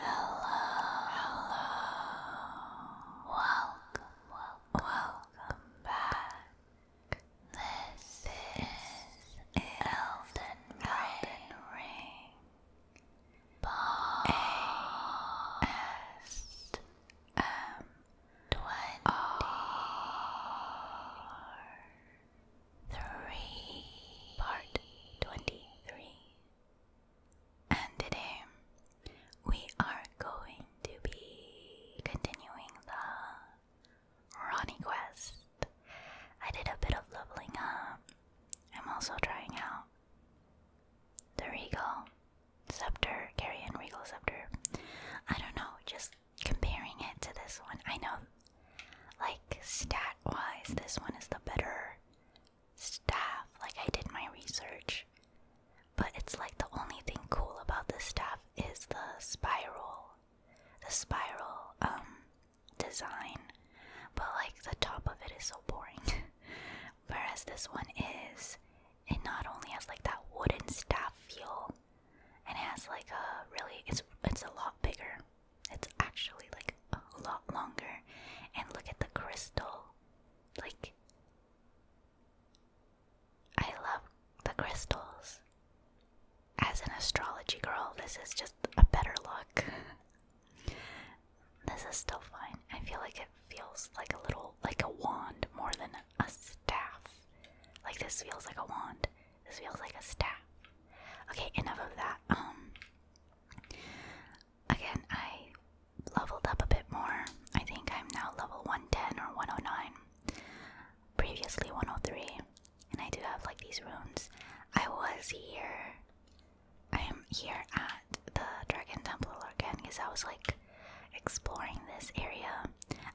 Hello, hello. Welcome, welcome, back. This, is Elden Ring. A S M twenty three part twenty three. And today we are going to be continuing the Ronnie quest. I did a bit of leveling up. I'm also trying out the Regal scepter, Carrion Regal scepter. I don't know, just comparing it to this one. I know, like, stat wise, this one is the better staff. Like, I did my research. But it's like the only thing cool about this staff is the spiral, the spiral um, design. But like the top of it is so boring. Whereas this one is, it not only has like that wooden staff feel, it has like a really it's it's a lot bigger. It's actually like a lot longer. And look at the crystal. Like I love the crystals. As an astrology girl, this is just a better look. This is still fine. I feel like it feels like a little, like a wand more than a staff. Like this feels like a wand. This feels like a staff. Okay, enough of that. Um, again, I leveled up a bit more. I think I'm now level 110 or 109. Previously 103. And I do have like these runes. I was here I am here at the Dragon Temple again because I was like exploring this area.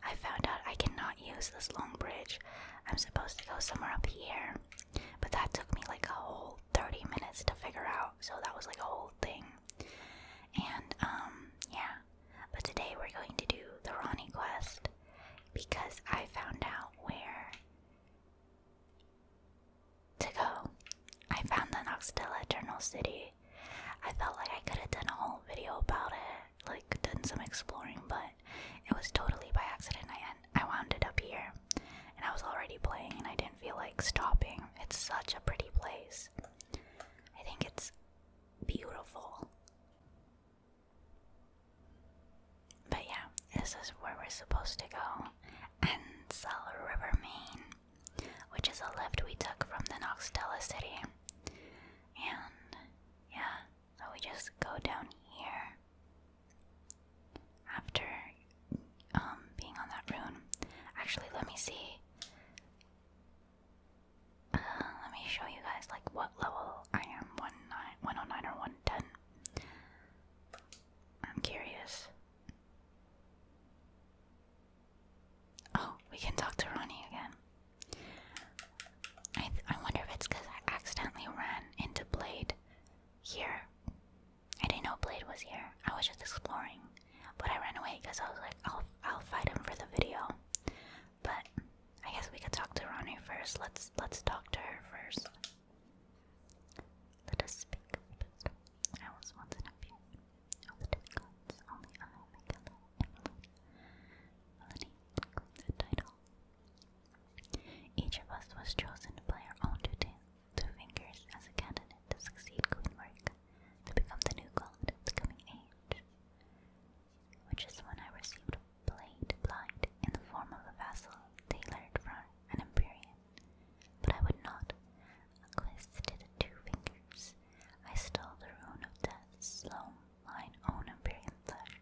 I found out I cannot use this long bridge. I'm supposed to go somewhere up here, but that took me like a whole 30 minutes to figure out, so that was like a whole thing. And, um, yeah. But today we're going to do the Ronnie quest because I found out where to go. I found the Noxtella Eternal City. I felt like I could have done a whole video about it, like done some exploring, but it was totally by accident. I I wound up here, and I was already playing, and I didn't feel like stopping. It's such a pretty place. I think it's beautiful. But yeah, this is where we're supposed to go. Ansel River, Maine which is a lift we took from the Noxtella city. And yeah, so we just go down here after um, being on that rune. Actually, let me see. Uh, let me show you guys like what level I am. One nine, one oh nine or one ten. I'm curious. Oh, we can talk to Ronnie again. I I wonder if it's because I accidentally ran into Blade here. I didn't know Blade was here. I was just exploring, but I ran away because I was like, I'll I'll fight him for the video. But I guess we could talk to Ronnie first. Let's let's talk to her first. Let us speak, wisdom. I was once an nephew of the demigods, only I, Michaela, and Melanie. Melanie title. Each of us was chosen by our own two, two fingers as a candidate to succeed Queen Marika, to become the new god of the coming age. Which is when I received blade blind in the form of a vessel tailored for an Empyrean. But I would not. A to the two fingers, I stole the rune of death, slow, mine own imperial flesh,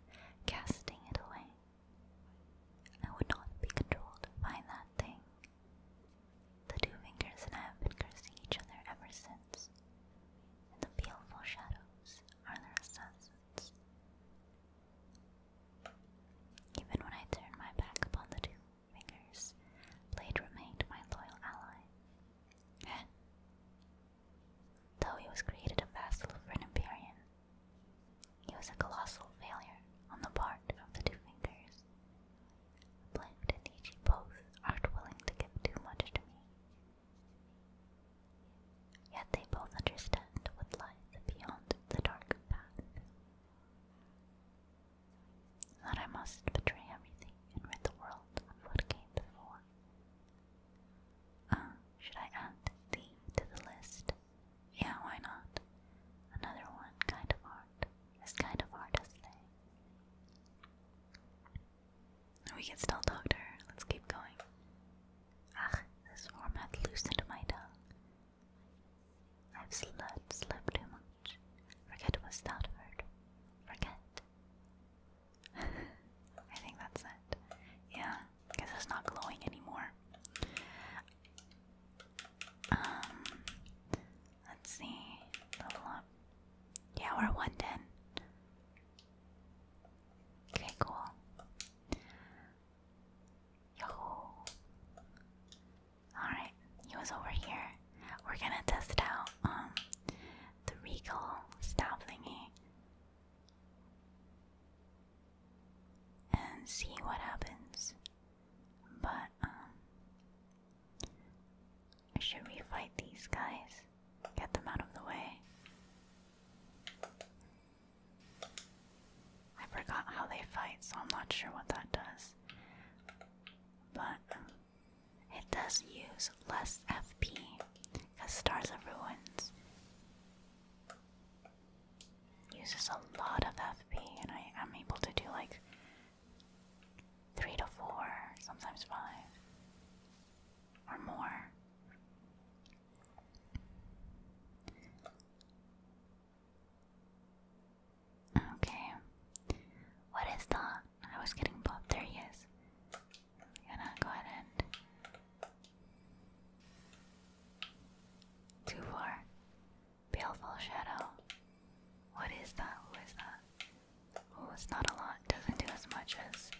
casting it away. I would not be controlled by that thing. The two fingers and I have been cursing each other ever since. And the baleful shadows are their assassins. Even when I turned my back upon the two fingers, Blade remained my loyal ally. Though he was created a vassal for an Empyrean, he was a colossal failure on the part of the Two Fingers. Blade and Ichi both aren't willing to give too much to me. Yet they both understand what lies beyond the dark path that I must betray everything and rid the world of what came before. Ah, should I add thee to the list? Yeah, why not? Another one, kind of art, as kind of art as they. We can still talk to her, let's keep going. Ah, this form loosened my tongue. I've slept, too much. Forget was that word. Forget. I think that's it. Yeah, because it's not glowing anymore. Um, let's see. Yeah, we're 110. Okay, cool. Yo. Alright, he was over here. We're gonna test out um the regal staff thingy and see what happens. But um should we fight these guys? Get them out of the way. I forgot how they fight, so I'm not sure what that does but it does use less FP because Stars of Ruins uses a lot of FP, and I am able to do like three to four, sometimes five or more. Okay. What is that? I was getting popped. There he is. I'm gonna go ahead and. Two four. Baleful shadow. What is that? Who is that? Oh, it's not a lot. Doesn't do as much as.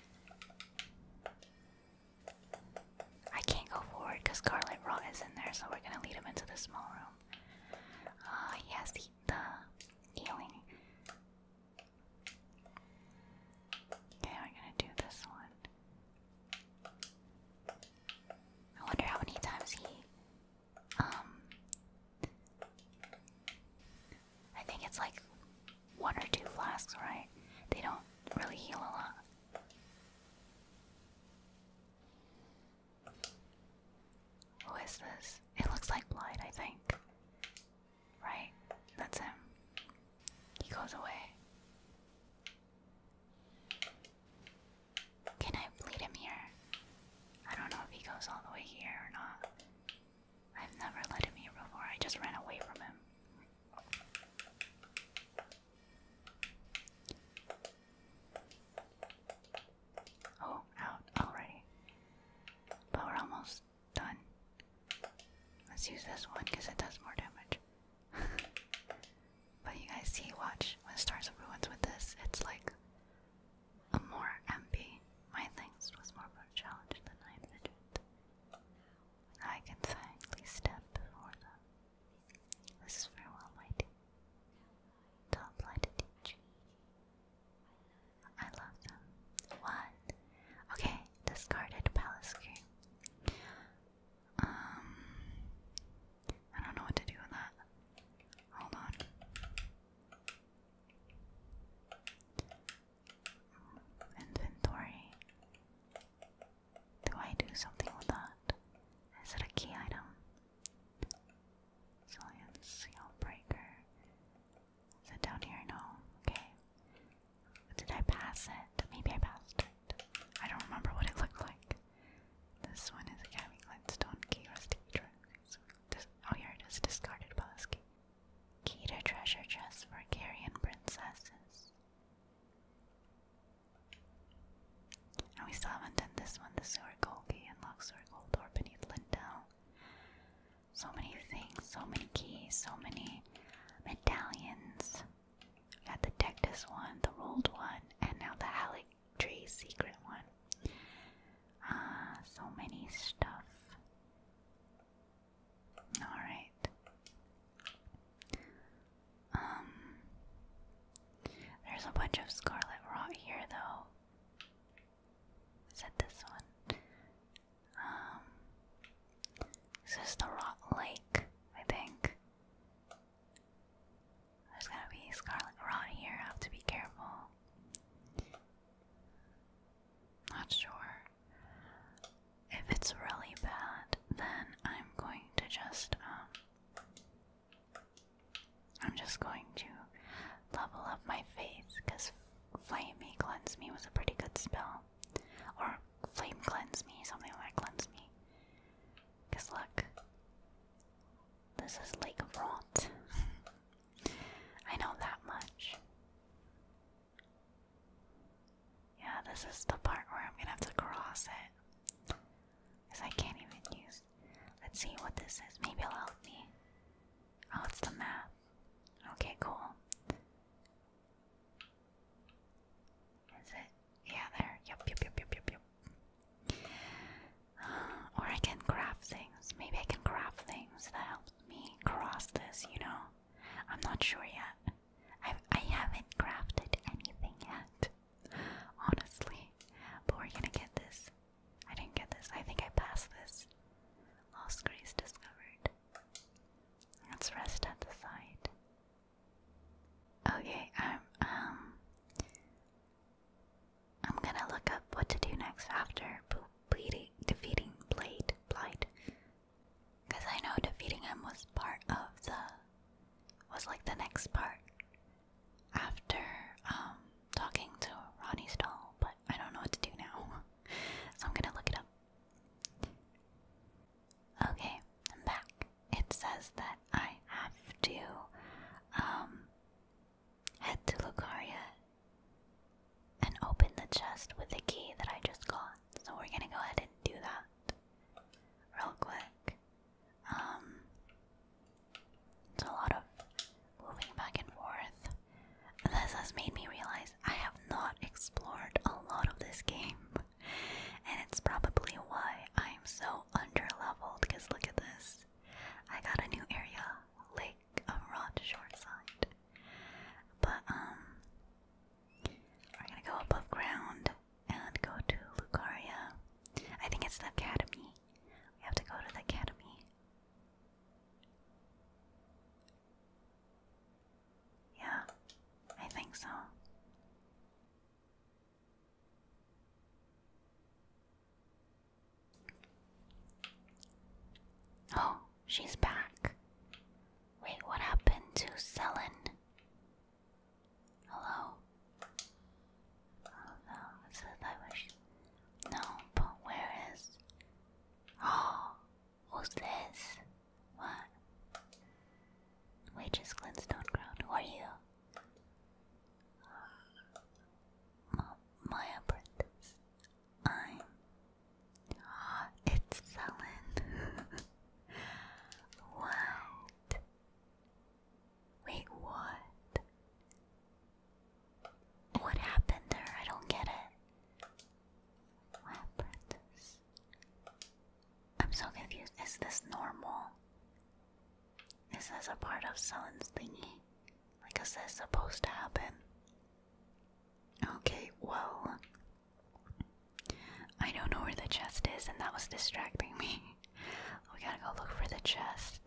I can't go forward because Scarlet Rot is in there, so we're gonna lead him into the small room. Ah, uh, he has the the healing. Okay, we're gonna do this one. I wonder how many times he, um, I think it's like one or two flasks, right? They don't really heal a lot. Who is this? It looks like blood. I think. Right? That's him. He goes away. Can I bleed him here? I don't know if he goes all the way here or not. I've never let him here before, I just ran away from him. Oh, out already. But we're almost done. Let's use this one because it does more damage. but you guys see, watch, when Stars of Ruins with this, it's like a more MP. My things was more of a challenge than I envisioned. I can finally step before them. This is farewell, my dear to apply to I love them. One. Okay, discarded palace cream. Um, I don't know what to do with that. Hold on. Inventory. Do I do something with that? Is it a key item? Silence seal breaker. Is down here? No. Okay. Did I pass it? Maybe I passed it. I don't remember what it looked like. This one is a Academy Glintstone Key Rusty This Oh, here it is. Discarded boss key. to treasure chest for Carrion Princesses. And we still haven't done this one, the sewer Golgi lock, sewer gold door beneath Lindell. So many things, so many keys, so many medallions. We got the Dectus one, the rolled one, and now the Halic Tree secret one. Ah, so many stuff. Alright. Um, there's a bunch of scarlet rot here, though said this one. Um, this is the Rock Lake, I think. There's gonna be Scarlet Rot here, I have to be careful. Not sure. If it's really bad, then I'm going to just, um, I'm just going to level up my face, because Flamey Cleanse Me was a pretty good spell. Or Flame Cleanse Me, something like Cleanse Me. Because look, this is Lake of Rot. I know that much. Yeah, this is the part where I'm gonna have to cross it. Because I can't even use Let's see what this is. Maybe it'll help me. Oh, it's the map. Okay, cool. Is it? Yeah, there. Yep, yep, yep, yep, yep, yep. or I can craft things. Maybe I can craft things that helps me cross this, you know? I'm not sure yet. I've, I i have not crafted anything yet, honestly. But we're gonna get this I didn't get this. I think I passed this. Lost grace discovered. Let's rest at the side. Okay, um, um, I'm gonna look up what to do next after defeating Blade Blight, because I know defeating him was part of the was like the next part after um, talking to Ronnie Stall, but I don't know what to do now, so I'm gonna look it up. Okay, I'm back. It says that I have to um, head to Lucaria and open the chest with the key that I just got, so we're gonna go ahead and do that real quick. Um, it's a lot of moving back and forth. This has made me realize I have not explored a lot of this game, and it's probably why I'm so under leveled. Because look at this, I got a new area, Lake of Rot Shoreside. But um, we're gonna go above ground and go to Lucaria. I think it's the academy. We have to go to the academy. Yeah, I think so. Oh, she's back. Wait, what happened to Selen? Hello? Oh no, it says I No, but where is. Oh, who's this? What? Waitress Glintstone Crown, who are you? My, apprentice. I'm. Oh, it's Selen. what? Wait, what? What happened there? I don't get it. Lab practice. I'm so confused. Is this normal? Is this a part of Sullen's thingy? Like, is this supposed to happen? Okay, well. I don't know where the chest is, and that was distracting me. we gotta go look for the chest.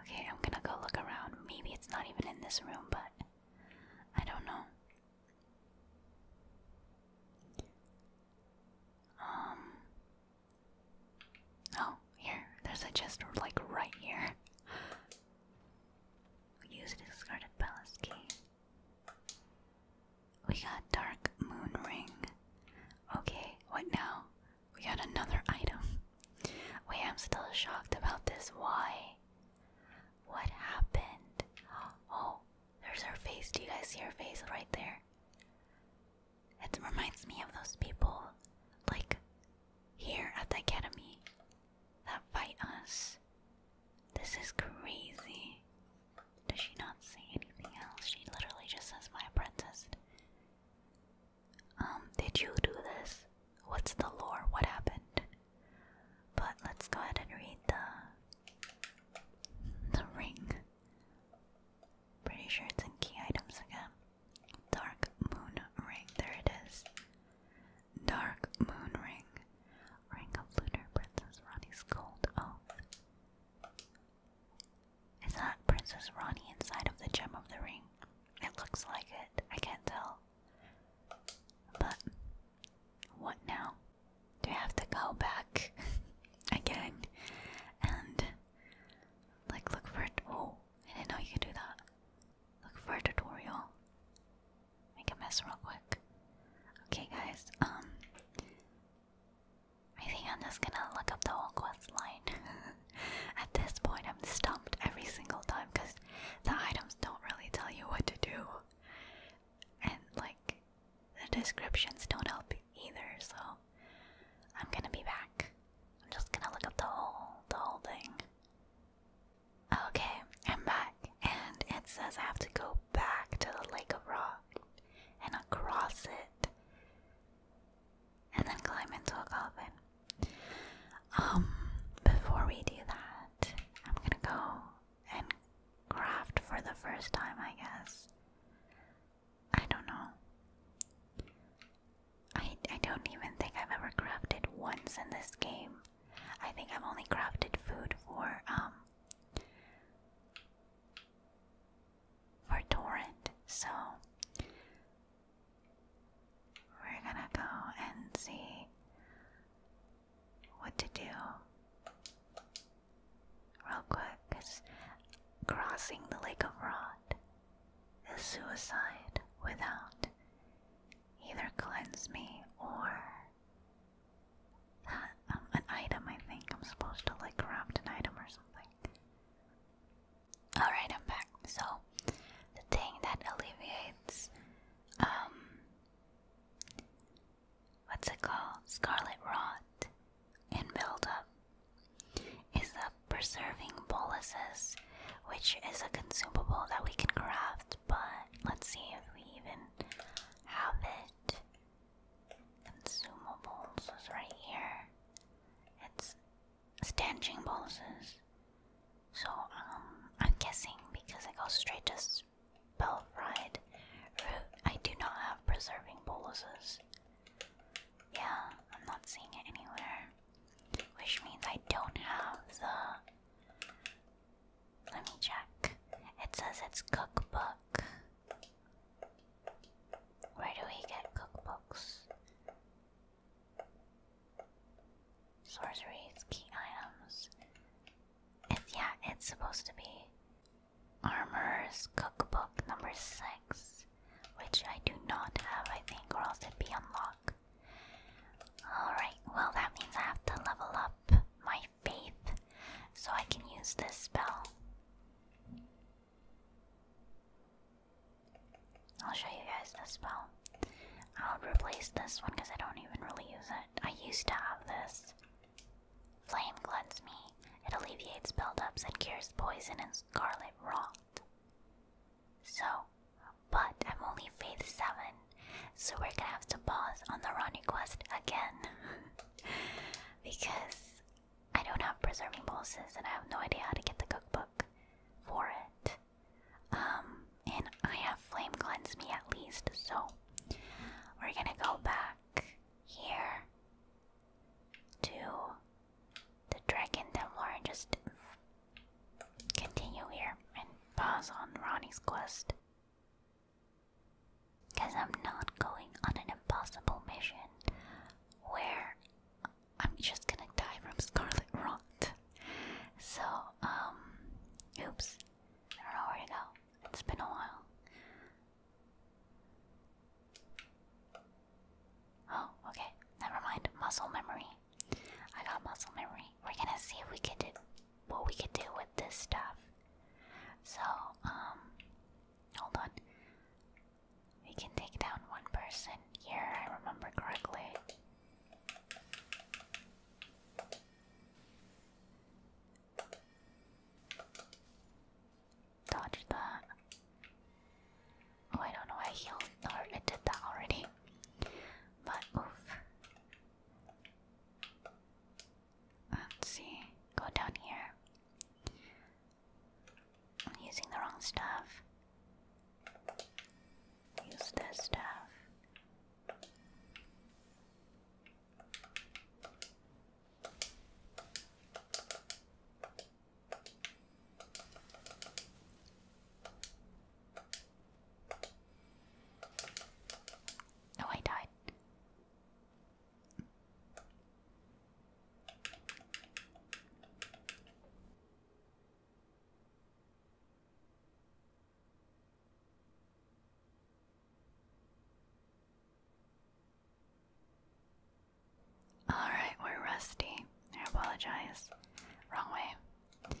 Okay, I'm gonna go look around. Maybe it's not even in this room, but I don't know. Um. Oh, here. There's a chest, like, right here. We used discarded palace key. We got dark moon ring. Okay, what now? We got another item. We am still shocked about this. Why? What happened? Oh, there's her face. Do you guys see her face right there? It reminds me of those people, like here at the academy, that fight us. This is crazy. Does she not say anything else? She literally just says, My apprentice. Um, did you do this? What's the lore? What happened? But let's go ahead and read the the ring. Pretty sure it's in key items again. Dark Moon Ring. There it is. Dark Moon Ring. Ring of Lunar Princess Ronnie's Gold Oath. Is that Princess Ronnie inside of the Gem of the Ring? It looks like it. I can't tell. But what now? Do I have to go back again and like look for Oh, I didn't know you could do that. Look for a tutorial. Make a mess real quick. Okay, guys. Um, I think I'm just gonna look up the whole quest line. At this point, I'm stumped every single time because the items don't really tell you what to do. And, like, the descriptions don't help either, so I'm gonna be back. I'm just gonna look up the whole, the whole thing. Okay, I'm back, and it says I have to go back to the Lake of Rock and across it and then climb into a coffin. Um, before we do that, I'm gonna go and craft for the first time, I guess. I don't know. I, I don't even think I've ever crafted once in this game. I think I've only crafted food for, um, for Torrent, so we're gonna go and see what to do real quick because crossing the Lake of Rod is suicide without either cleanse me or um, an item. I think I'm supposed to like craft an item or something. Alright, I'm back. So, the thing that alleviates, um, what's it called? Scarlet Rot and buildup is the preserving boluses, which is a consumable that we can craft, but let's see if we even have it. Consumables is right here. It's stanching boluses. So, um, I'm guessing because I go straight to spell ride I do not have preserving boluses. Yeah, I'm not seeing it anywhere. Which means I don't have the. Let me check. It says it's cookbook. Where do we get cookbooks? sorceries, key items. It, yeah, it's supposed to be Armor's Cookbook number 6, which I do not have, I think, or else it'd be unlocked. Alright, well, that means I have to level up my faith so I can use this spell. I'll show you guys the spell. I'll replace this one because I don't even really use it. I used to have this. Flame Cleanse Me. It alleviates buildups and cures poison and scarlet rot. So, but I'm only Faith 7, so we're gonna have to pause on the Ronnie quest again. because I don't have preserving pulses and I have no idea how to get the cookbook for it. Um, and I have flame cleanse me at least, so we're gonna go back here to the Dragon Templar Lauren, just continue here and pause on Ronnie's quest. Because I'm not going on an impossible mission where I'm just gonna die from Scarlet Rot. So, um, oops, I don't know where to go. It's been a while. Oh, okay, never mind. Muscle memory. I got muscle memory. We're gonna see if we can do what we can do with this stuff. So, um, hold on. We can take down one person here, I remember correctly. Dodge that. Oh, I don't know, I healed or I did that already. But oof. Let's see. Go down here using the wrong stuff. Use this stuff. Oh, I died. Alright, we're rusty. I apologize. Wrong way.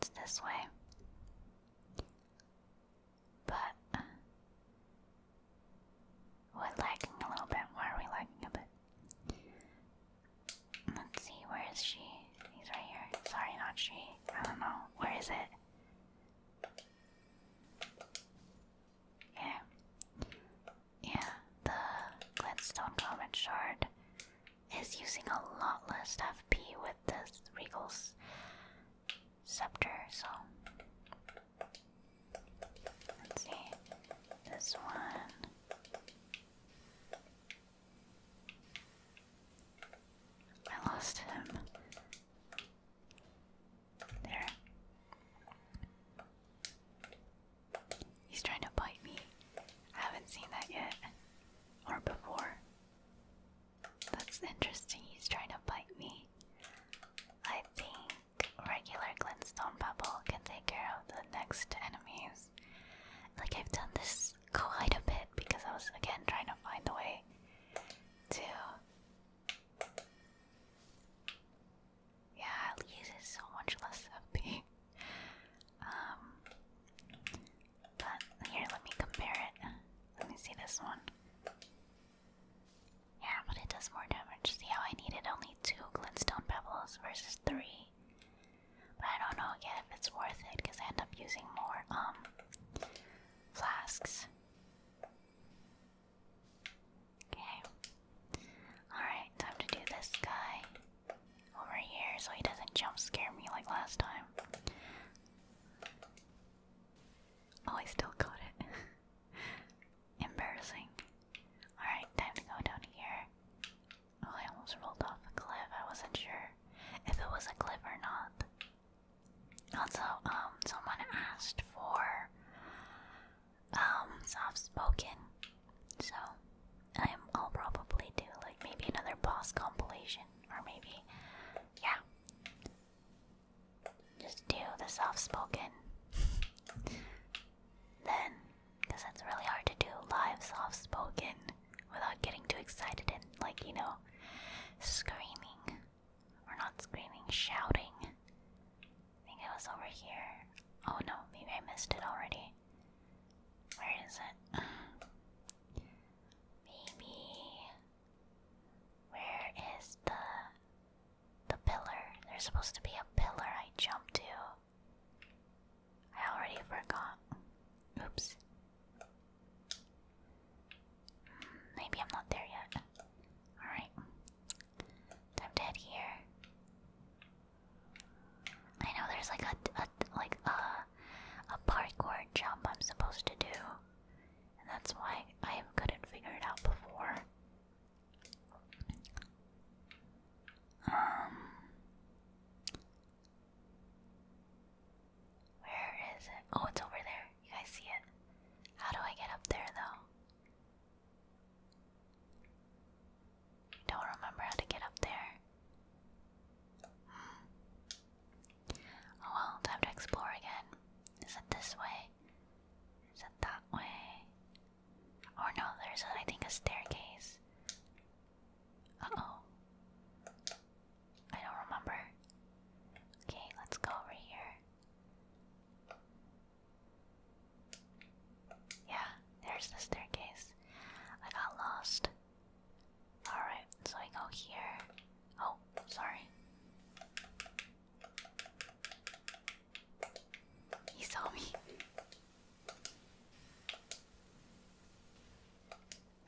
It's this way. But uh, we're lagging a little bit. Why are we lagging a bit? Let's see, where is she? He's right here. Sorry, not she. I don't know. Where is it? Yeah. Yeah, the glintstone Comet Shard is using a lot less FP with this Regal's Scepter, so. Let's see. This one. I lost him. There. He's trying to bite me. I haven't seen that yet. Or before. That's interesting. He's trying to bite me. I think regular glintstone pebble can take care of the next enemies. Like, I've done this quite a bit because I was again trying to find a way to. Yeah, it uses so much less FP. Um, but here, let me compare it. Let me see this one. Yeah, but it does more damage. See how I needed only two glintstone pebbles versus three. But I don't know again if it's worth it because I end up using more um, flasks. Okay. Alright, time to do this guy over here so he doesn't jump scare me like last time. Oh, I still got it. Embarrassing. Alright, time to go down here. Oh, I almost rolled off a cliff. I wasn't sure if it was a cliff or not. Also, um, someone asked for um soft spoken, so I'll probably do like maybe another boss compilation or maybe yeah. Just do the soft spoken. then because it's really hard to do live soft spoken without getting too excited and, like, you know, screaming. Or not screaming, shouting. I think I was over here. Oh no, maybe I missed it already. Where is it? Maybe. Where is the. the pillar? There's supposed to be a pillar I jumped to. I already forgot. Oops. Hmm, maybe I'm not there yet. Alright. Time to head here. I know there's like a, a like a a parkour jump I'm supposed to do. And that's why I couldn't figure it out before. Um. Where is it? Oh, it's over there. You guys see it? How do I get up there though? Don't remember how to get up there. Hmm. Oh well, time to explore again. Is it this way? Is it that way? Or no, there's I think a staircase. Uh oh. I don't remember. Okay, let's go over here. Yeah, there's the staircase. I got lost. Alright, so I go here. Oh, sorry. He saw me.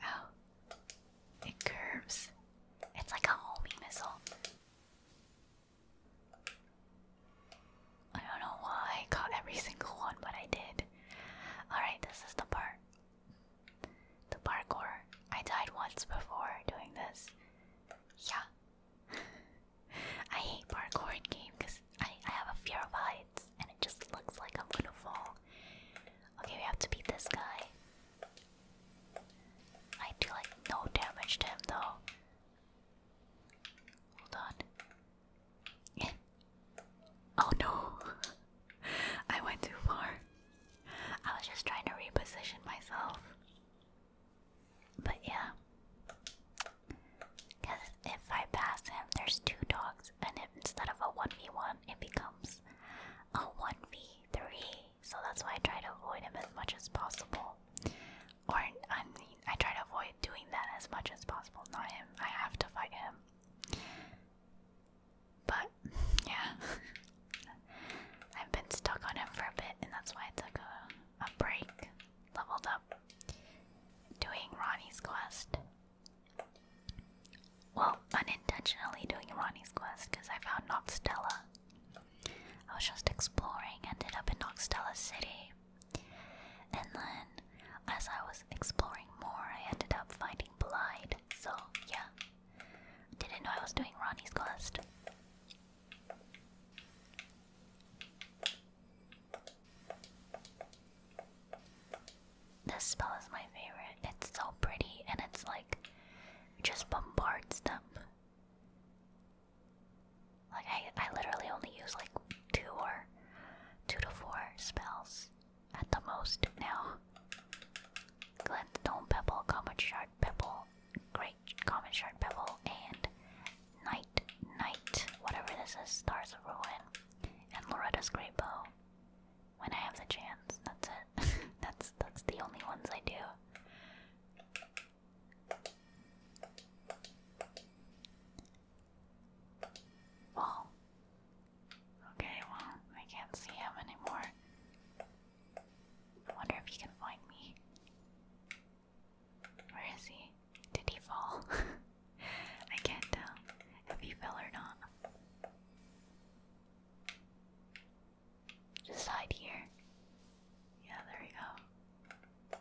Oh, it curves. It's like a homing missile. I don't know why I got every single one, but I did. Alright, this is the part. The parkour. I died once before doing this. Yeah. I hate parkour games. I, I have a fear of heights, and it just looks like I'm gonna fall. Okay, we have to beat this guy. I do like no damage to him though. Hold on. oh no! I went too far. I was just trying to reposition myself. But yeah. Because if I pass him, there's two dogs, and instead of a 1v1, it becomes a 1v3. So that's why I try to avoid him as much as possible. Or, I mean, I try to avoid doing that as much as possible, not him. I have to fight him. But, yeah. I've been stuck on him for a bit, and that's why I took a, a break, leveled up doing Ronnie's quest. Well, unintentionally doing Ronnie's quest because I found Noxtella. I was just exploring, ended up in Noxtella City. And then, as I was exploring more, I ended up finding Blight. So, yeah. Didn't know I was doing Ronnie's quest. This spell is my favorite. It's so pretty and it's like just bombards them. Like I I literally only use like two or two to four spells at the most now. Glenstone Pebble, Common Shard Pebble, Great Common Shard Pebble, and Night, night. whatever this is, Stars of Ruin, and Loretta's Great Bow. When I have the chance, that's it. that's that's the only ones I do. Well, okay, well, I can't see him anymore. wonder if he can find me. Where is he? Did he fall? I can't tell if he fell or not. Just hide here. Yeah, there we go.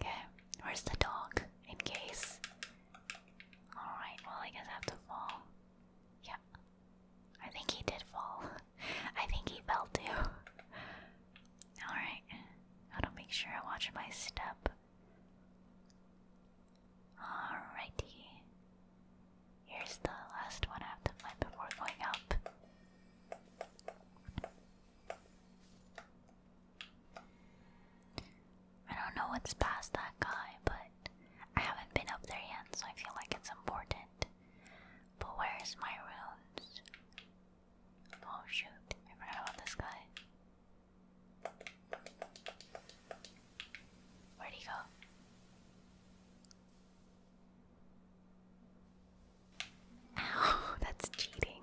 Okay, where's the dog? In case. Alright, well, I guess have to fall. Yeah. I think he did fall. I think he fell too. Alright, gotta make sure I watch my step. Alrighty. Here's the last one I have to find before going up. I don't know what's past that guy, but I haven't been up there yet, so I feel like it's important. But where's my runes? Oh shoot, I forgot about this guy. Where'd he go? Ow, that's cheating.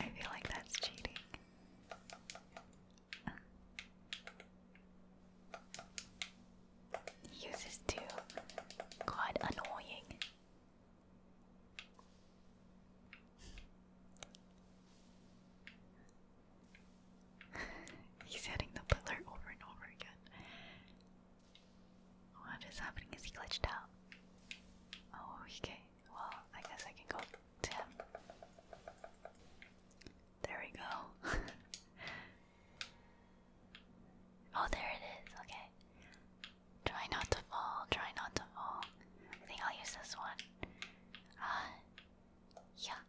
I feel like that's cheating. He uses two. God, annoying. He's hitting the pillar over and over again. What is happening? Is he glitched out? Oh, okay. Well, I guess I can go to There we go. oh, there it is. Okay. Try not to fall, try not to fall. I think I'll use this one. Uh, yeah.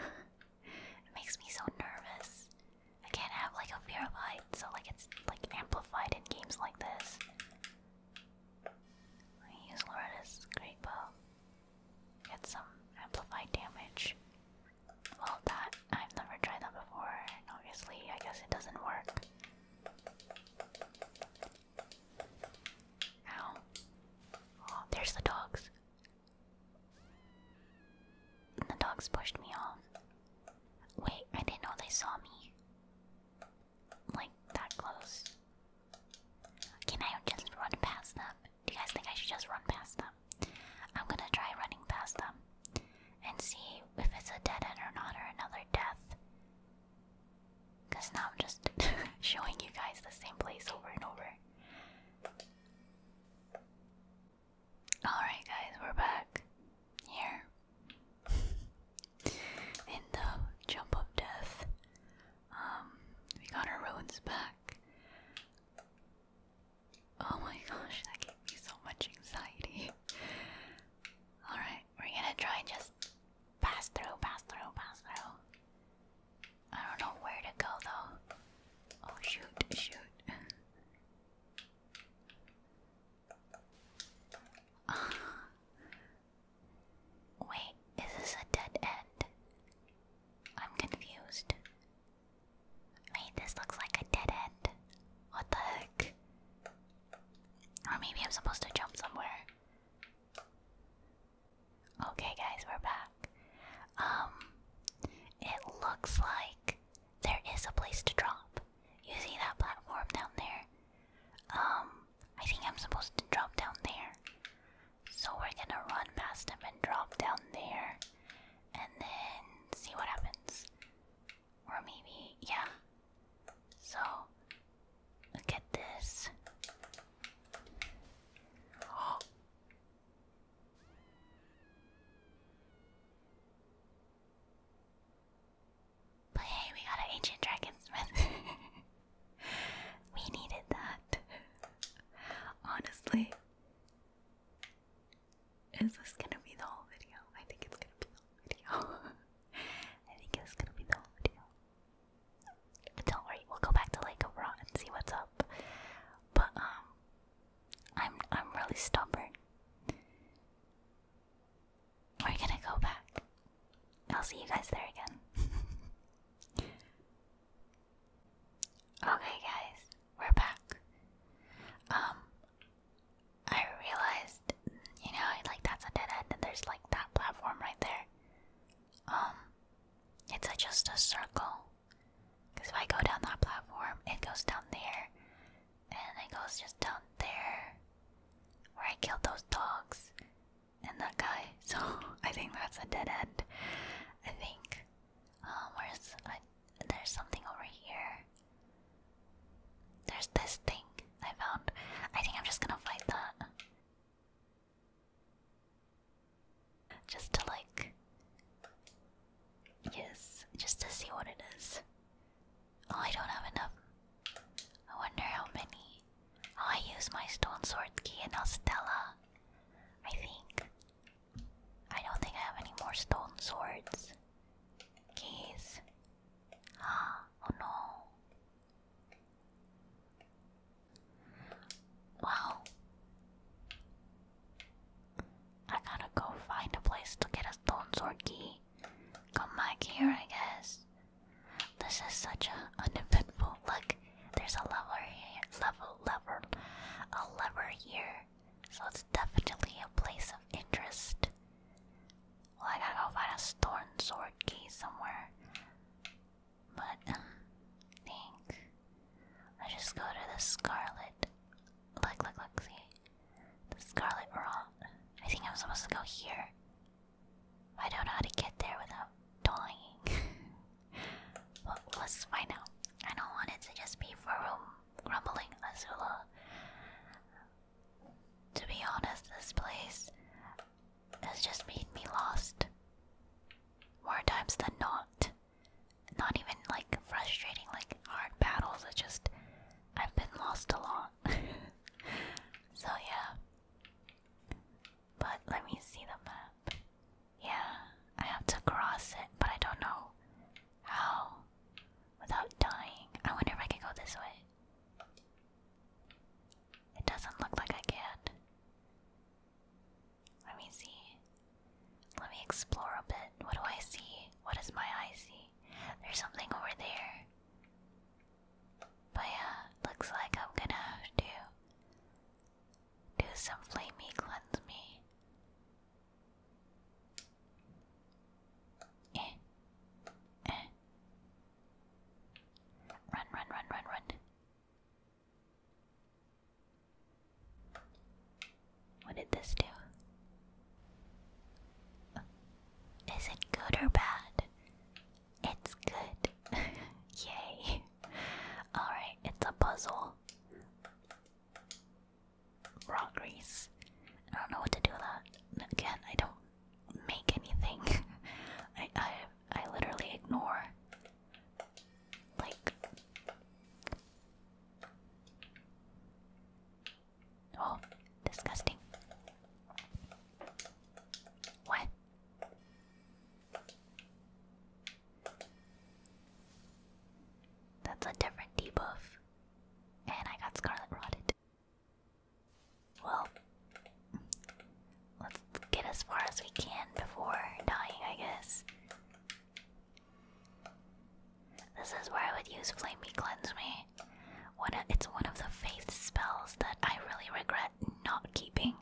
it makes me so nervous. I can't have like a fear of heights, so like it's like amplified in games like this. I use Loretta's great bow. Get some amplified damage. Well, that I've never tried that before, and obviously, I guess it doesn't work. Ow. Oh, there's the dogs. The dogs pushed me off. Wait, I didn't know they saw me. Like, that close. Can I just run past them? Do you guys think I should just run past them? I'm gonna try running past them and see if it's a dead end or not, or another death. Because now I'm just showing you guys the same place over and over. Alright, guys, we're back here in the jump of death. Um, we got our roads back. Oh my gosh, that gave me so much anxiety. Alright, we're gonna try and just pass through, pass through, pass through. I don't know where to go though. Oh shoot, shoot. Wait, is this a dead end? I'm confused. Wait, this looks like a dead end. What the heck? Or maybe I'm supposed to jump somewhere. Okay, guys, we're back. Um, it looks like there is a place to drop. You see that platform down there? Um, I think I'm supposed to drop down there. So we're gonna run past him and drop down there, and then see what happens. Or maybe, yeah. So, look this. Oh. But hey, we got an ancient dragonsmith. we needed that. Honestly. Is this gonna be the whole video? I think it's gonna be I think it's gonna be the whole video. don't worry, we'll go back to Lake of and see what's up. But um I'm I'm really stubborn. We're gonna go back. I'll see you guys there again. okay guys, we're back. Um I realized, you know, like that's a dead end, and there's like that platform right there. Um, it's just a circle. Because if I go down that platform, it goes down there, and it goes just down there, where I killed those dogs and that guy. So I think that's a dead end. I think. Um, where's I, there's something over here. There's this thing I found. I think I'm just gonna fight that. Just to like. Yes, just to see what it is. Oh, I don't have enough. I wonder how many. Oh, I use my stone sword key and Ostella. I think. I don't think I have any more stone swords. Keys. oh no. Well, I gotta go find a place to get a stone sword key. Come back here, I guess. This is such a uneventful look. There's a lever here, lever, a lever here. So it's definitely a place of interest. Well, I gotta go find a storm sword key somewhere. But, um, think. let just go to the Scarlet. Look, look, look, see? The Scarlet Rock. I think I'm supposed to go here. I don't know how to get there without dying. let's find out. I don't want it to just be for room grumbling Azula. To be honest, this place has just made me lost. More times than not. Not even like frustrating, like hard battles, it's just I've been lost a lot. so, yeah. But let me see the map. Yeah, I have to cross it, but I don't know how without dying. I wonder if I could go this way. It doesn't look like I can. Let me see. Let me explore a bit. What do I see? What does my eye see? There's something over there. But yeah, looks like I'm gonna have to do some flamey cleanse me. Run, run, run, run, run. What did this do? Is it good or bad? It's good. Yay. Alright, it's a puzzle raw grease. I don't know what to do with that. Again, I don't make anything. I I I literally ignore like Oh, disgusting. What? That's a different debuff. And I got Scarlet Rotted. Well, let's get as far as we can before dying, I guess. This is where I would use Flame Me Cleanse Me. One it's one of the faith spells that I really regret not keeping.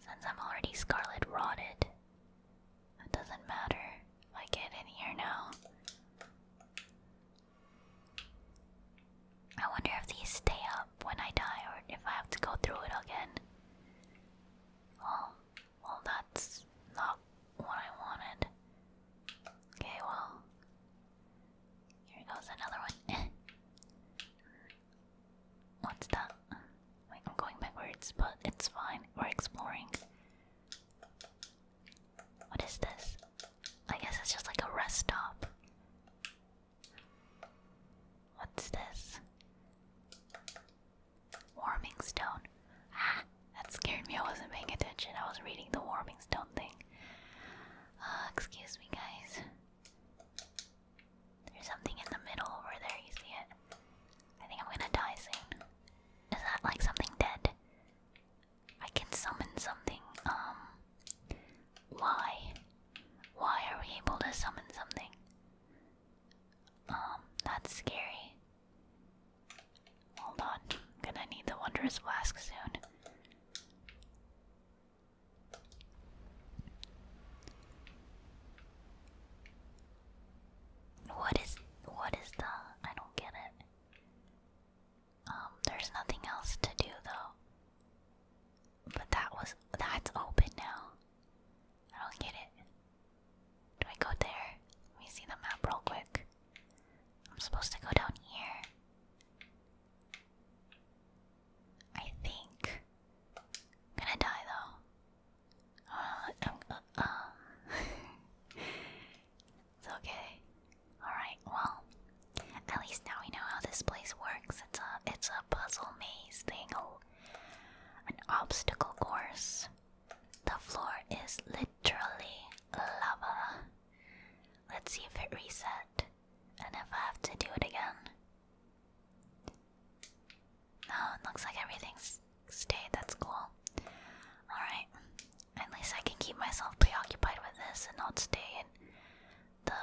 Since I'm already Scarlet Rotted. It doesn't matter I get in here now. I wonder if these stay up when I die or if I have to go through it again. Well, well, that's not what I wanted. Okay, well, here goes another one. What's that? Wait, I'm going backwards, but it's fine. We're exploring. What is this? I guess it's just like a rest stop. What's this? Warming stone. Ah, that scared me. I wasn't paying attention. I was reading the warming stone thing. Uh, excuse me, guys. There's something in the middle over there. You see it? I think I'm gonna die soon. Is that like something dead? I can summon something. Um, why? Why are we able to summon something? Um, that's scary. Hold on, gonna need the wondrous flask soon. What is what is the I don't get it. Um, there's nothing else to do though. But that was that's open now. I don't get it. Do I go there? Let me see the map real quick. I'm supposed to go down here. I think. gonna die though. Uh, It's okay. Alright, well, at least now we know how this place works. It's a it's a puzzle maze thing. Oh, an obstacle course. The floor is literally lava. Let's see if it reset. And if I have to do it again. No, oh, it looks like everything's stayed. That's cool. Alright. At least I can keep myself preoccupied with this and not stay in the.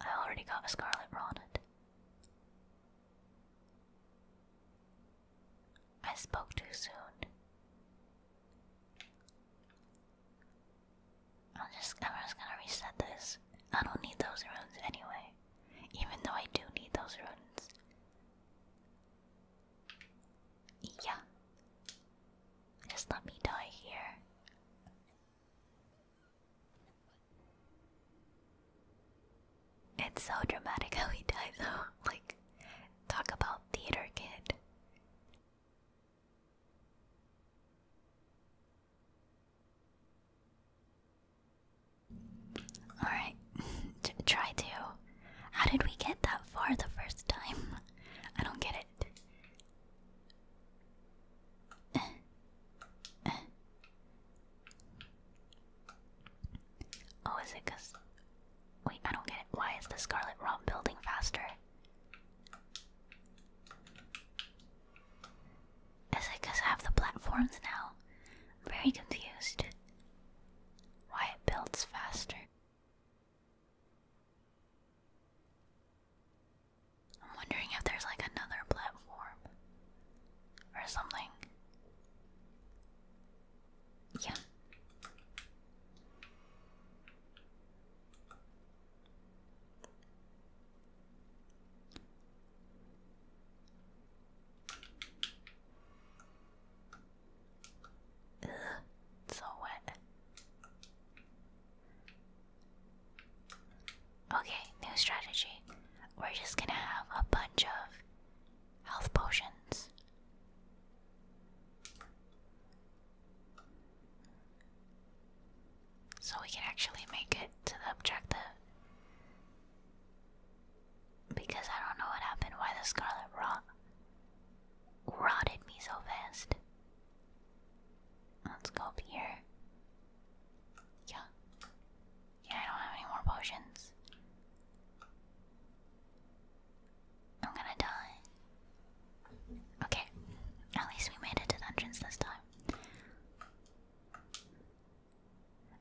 I already got a Scarlet Ronnet. I spoke too soon. I'm just, I'm just gonna reset this. I don't need those runes anyway. Even though I do need those runes. Yeah. Just let me die here. It's so dramatic how he died though. Like, talk about theater kid. Alright, try to how did we get that far the first time? I don't get it. Oh, is it Wait, I don't get it. Why is the Scarlet Rob building faster? Is it because I have the platforms now? I'm very confused. Why it builds faster. I'm wondering if there's like another platform or something. Yeah so wet. Okay, new strategy. We're just gonna have a bunch of health potions. So we can actually make it to the objective. Because I don't know what happened, why the scarlet rot rotted me so fast. Let's go up here. Yeah. Yeah, I don't have any more potions. I'm gonna die. Okay. At least we made it to the entrance this time.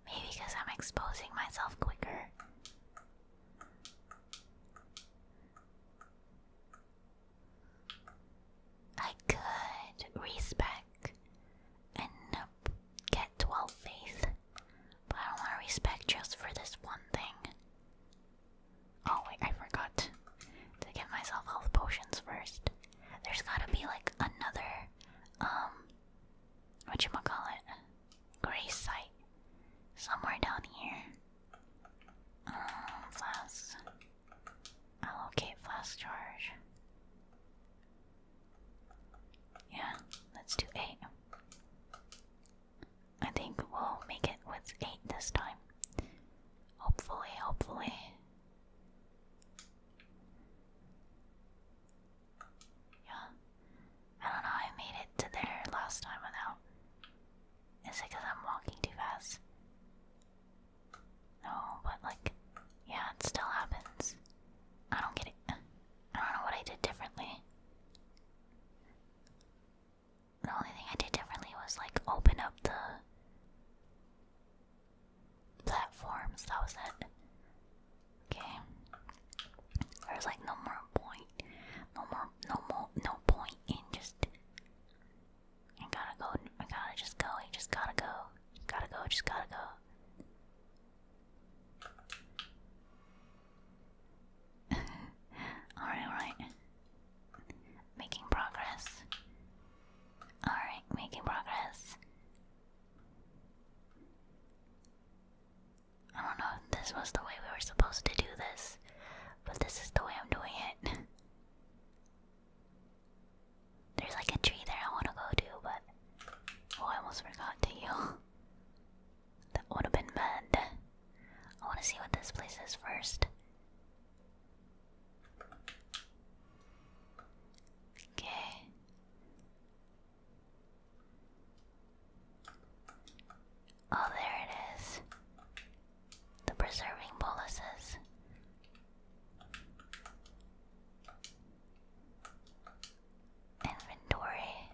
Maybe because I'm exposing myself quicker. I could respect and get 12 faith, but I don't want to respect just for this one thing. Oh wait, I forgot to get myself health potions first. There's gotta be like another, um, what you wanna call it, gray site somewhere down here. Uh, flask. Allocate flask charge. Yeah, let's do eight. I think we'll make it with eight this time. Hopefully, hopefully. Yeah. I don't know, I made it to there last time without is it because I'm walking too fast? No, but like, yeah, it still happens. I don't get it. I don't know what I did differently. The only thing I did differently was like open up the platforms. That was it. Okay. There's like no more point no more, no more, no point in just. I gotta go. I gotta just go. just gotta go. gotta go. Just gotta go. all right, all right. Making progress. All right, making progress. I don't know if this was the way we were supposed to do this, but this is the way I'm doing it. There's like a tree there I want to go to, but. Oh, I almost forgot to heal. that would have been bad. I want to see what this place is first. Okay. Oh, there it is. The preserving boluses. Inventory.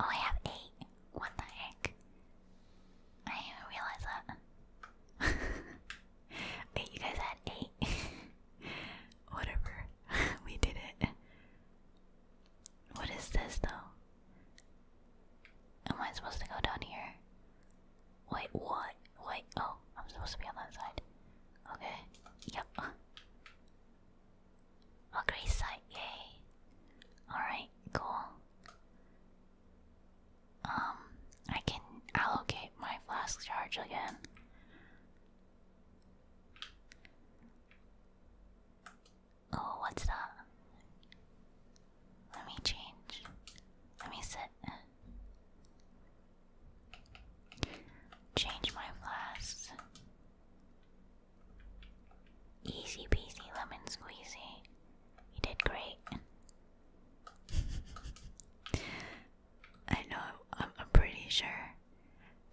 Oh, I have eight. What the heck? I didn't realize that. Wait, you guys had eight. Whatever. we did it. What is this though? Am I supposed to go down here? Wait, what? Wait, oh, I'm supposed to be on that side. Okay, yep. A great sight, yay. Alright, cool. Um, I can allocate my flask charge again. Oh, what's that? Let me change. Let me sit. Change my flasks. Easy peasy lemon squeezy. You did great. I know, I'm pretty sure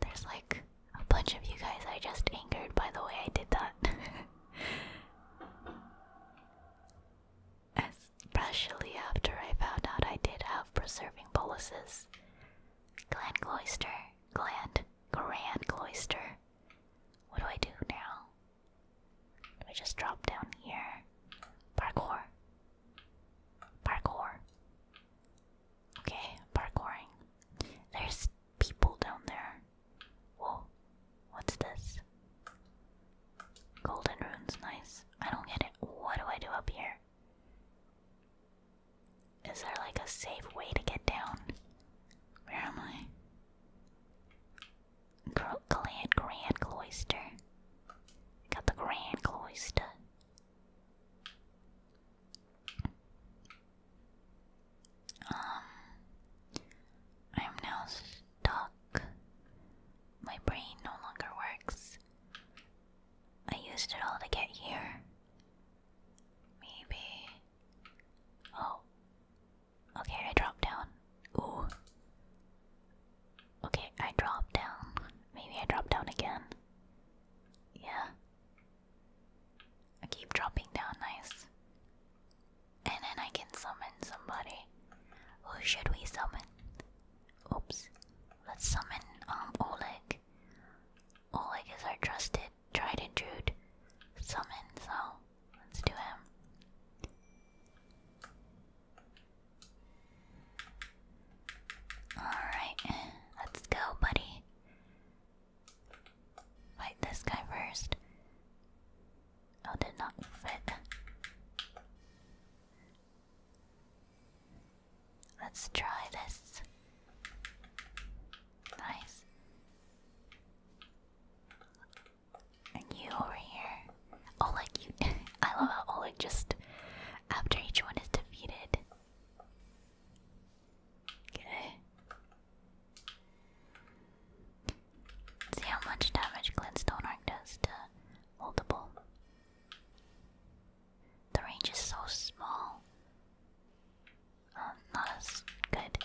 there's like a bunch of you guys I just angered by the way I did that. Especially after I found out I did have preserving boluses. Gland cloister. Gland. Grand cloister. What do I do now? I just drop down here? Parkour. Parkour. Okay, parkouring. There's people down there. Whoa, what's this? Golden runes, nice. I don't get it. What do I do up here? Is there like a safe way to get down? Where am I? Grand Grand Cloister. Got the Grand Cloister. Um, I'm now stuck. My brain no longer works. I used it all to get here. Maybe. Oh. Okay, I dropped down. Ooh. Okay, I dropped down. Maybe I dropped down again. Yeah. I keep dropping down nice. And then I can summon somebody. Who should we summon? Oops. Let's summon um Oleg. Oleg is our trusted, tried and true summon, so let's do him. Alright, let's go, buddy. Fight this guy first. Oh, did not fit. Let's try this. Nice. And you over here. Oleg, you. I love how Oleg just. After each one is defeated. Okay. See how much damage Glintstone Arc does to multiple. The range is so small. Um, not as good.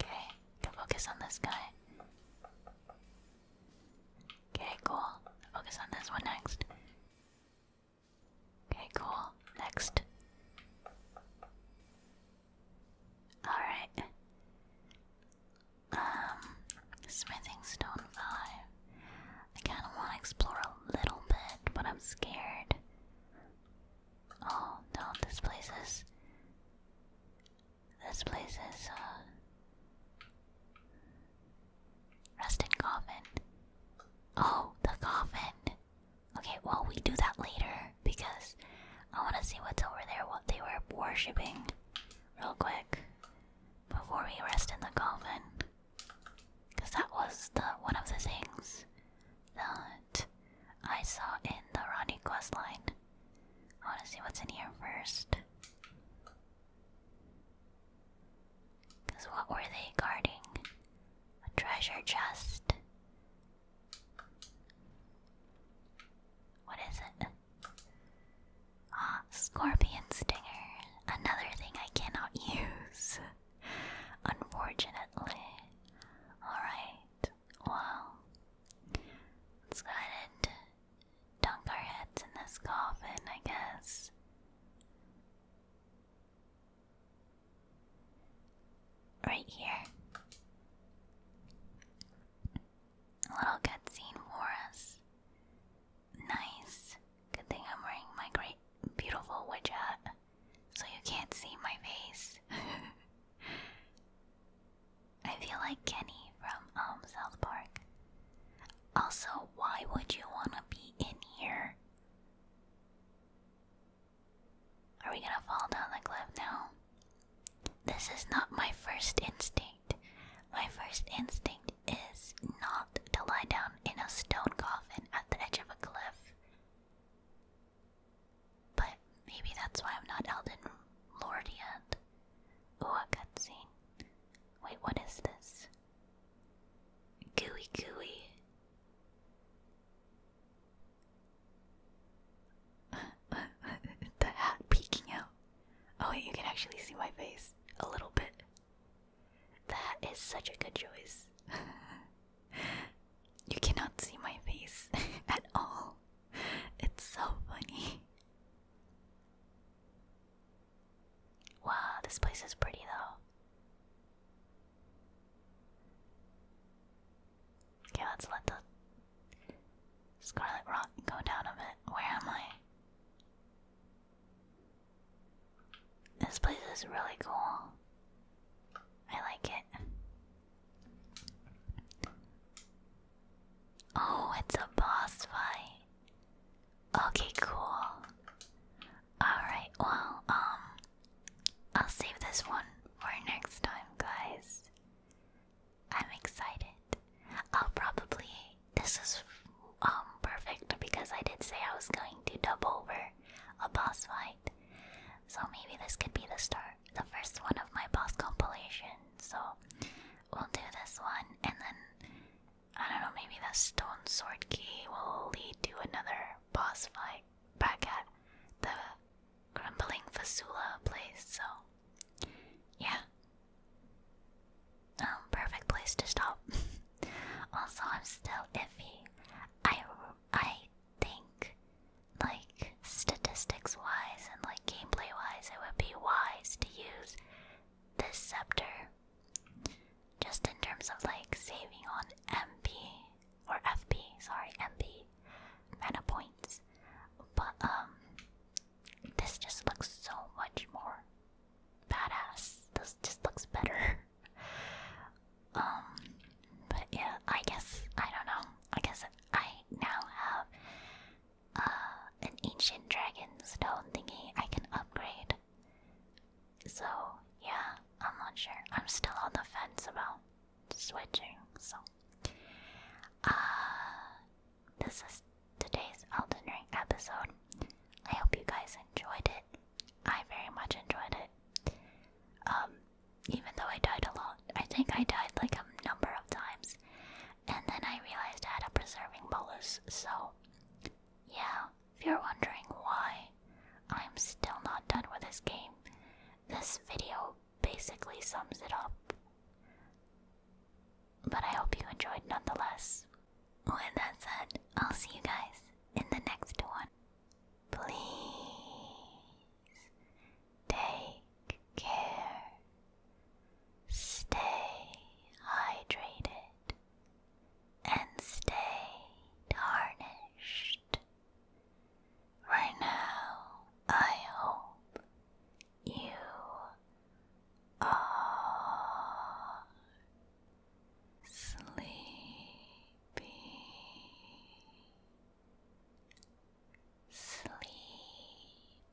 Okay, can focus on this guy. Okay, cool. Focus on this one next. Okay, cool. Next. Alright. Um, smithing stone 5. I kind of want to explore a little bit, but I'm scared. Oh, no, this place is. This place is, uh, Rest in coffin. Oh, the coffin. Okay, well, we do that later because I want to see what's over there, what they were worshipping, real quick, before we rest in the coffin. Because that was the one of the things that I saw in the Ronnie quest line. I want to see what's in here first. Because what were they guarding? A treasure chest. What is it? Ah, scorpion stinger. Another thing I cannot use. Unfortunately. Alright, well, let's go ahead dunk our heads in this coffin, I guess. Right here. A little cutscene for us. Nice. Good thing I'm wearing my great, beautiful witch so you can't see my face. I feel like Kenny from um, South Park. Also, why would you want to be in here? Are we gonna fall down the cliff now? This is not my first instinct. My first instinct is not to lie down in a stone coffin at the edge of a cliff. But maybe that's why I'm not Elden Lord Ooh, a cutscene. Wait, what is this? Gooey gooey. the hat peeking out. Oh, you can actually see my face a little bit. That is such a good choice. you cannot see my face at all. It's so funny. Wow, this place is pretty though. Okay, let's let the Scarlet Rock go down a bit. Where am I? This place is really cool. I like it. Oh, it's a boss fight. Okay, cool. Alright, well, um, I'll save this one for next time, guys. I'm excited. I'll probably. This is um perfect because I did say I was going to dub over a boss fight. So maybe this could be the start, the first one of my boss compilation. So we'll do this one and then I don't know, maybe the stone sword key will lead to another boss fight back at the crumbling Fasula place, so yeah. Um, perfect place to stop. also, I'm still iffy. I, I think, like, statistics wise and like gameplay wise, it would be wise to use this scepter just in terms of like saving on MP or FP, sorry, MP mana points. But um this just looks so much more badass. This just looks better. um but yeah, I guess I don't know. I guess I now have uh an ancient dragon stone thingy I can upgrade. So, yeah, I'm not sure. I'm still on the fence about switching, so. ah, this is today's Elden Ring episode. I hope you guys enjoyed it. I very much enjoyed it. Um, even though I died a lot, I think I died like a number of times, and then I realized I had a preserving bolus, so yeah, if you're wondering why I'm still not done with this game, this video basically sums it up. But I hope you enjoyed nonetheless. With that said, I'll see you guys in the next one. Please take care. Stay hydrated and stay tarnished. Right now, I hope you are sleepy. Sleepy,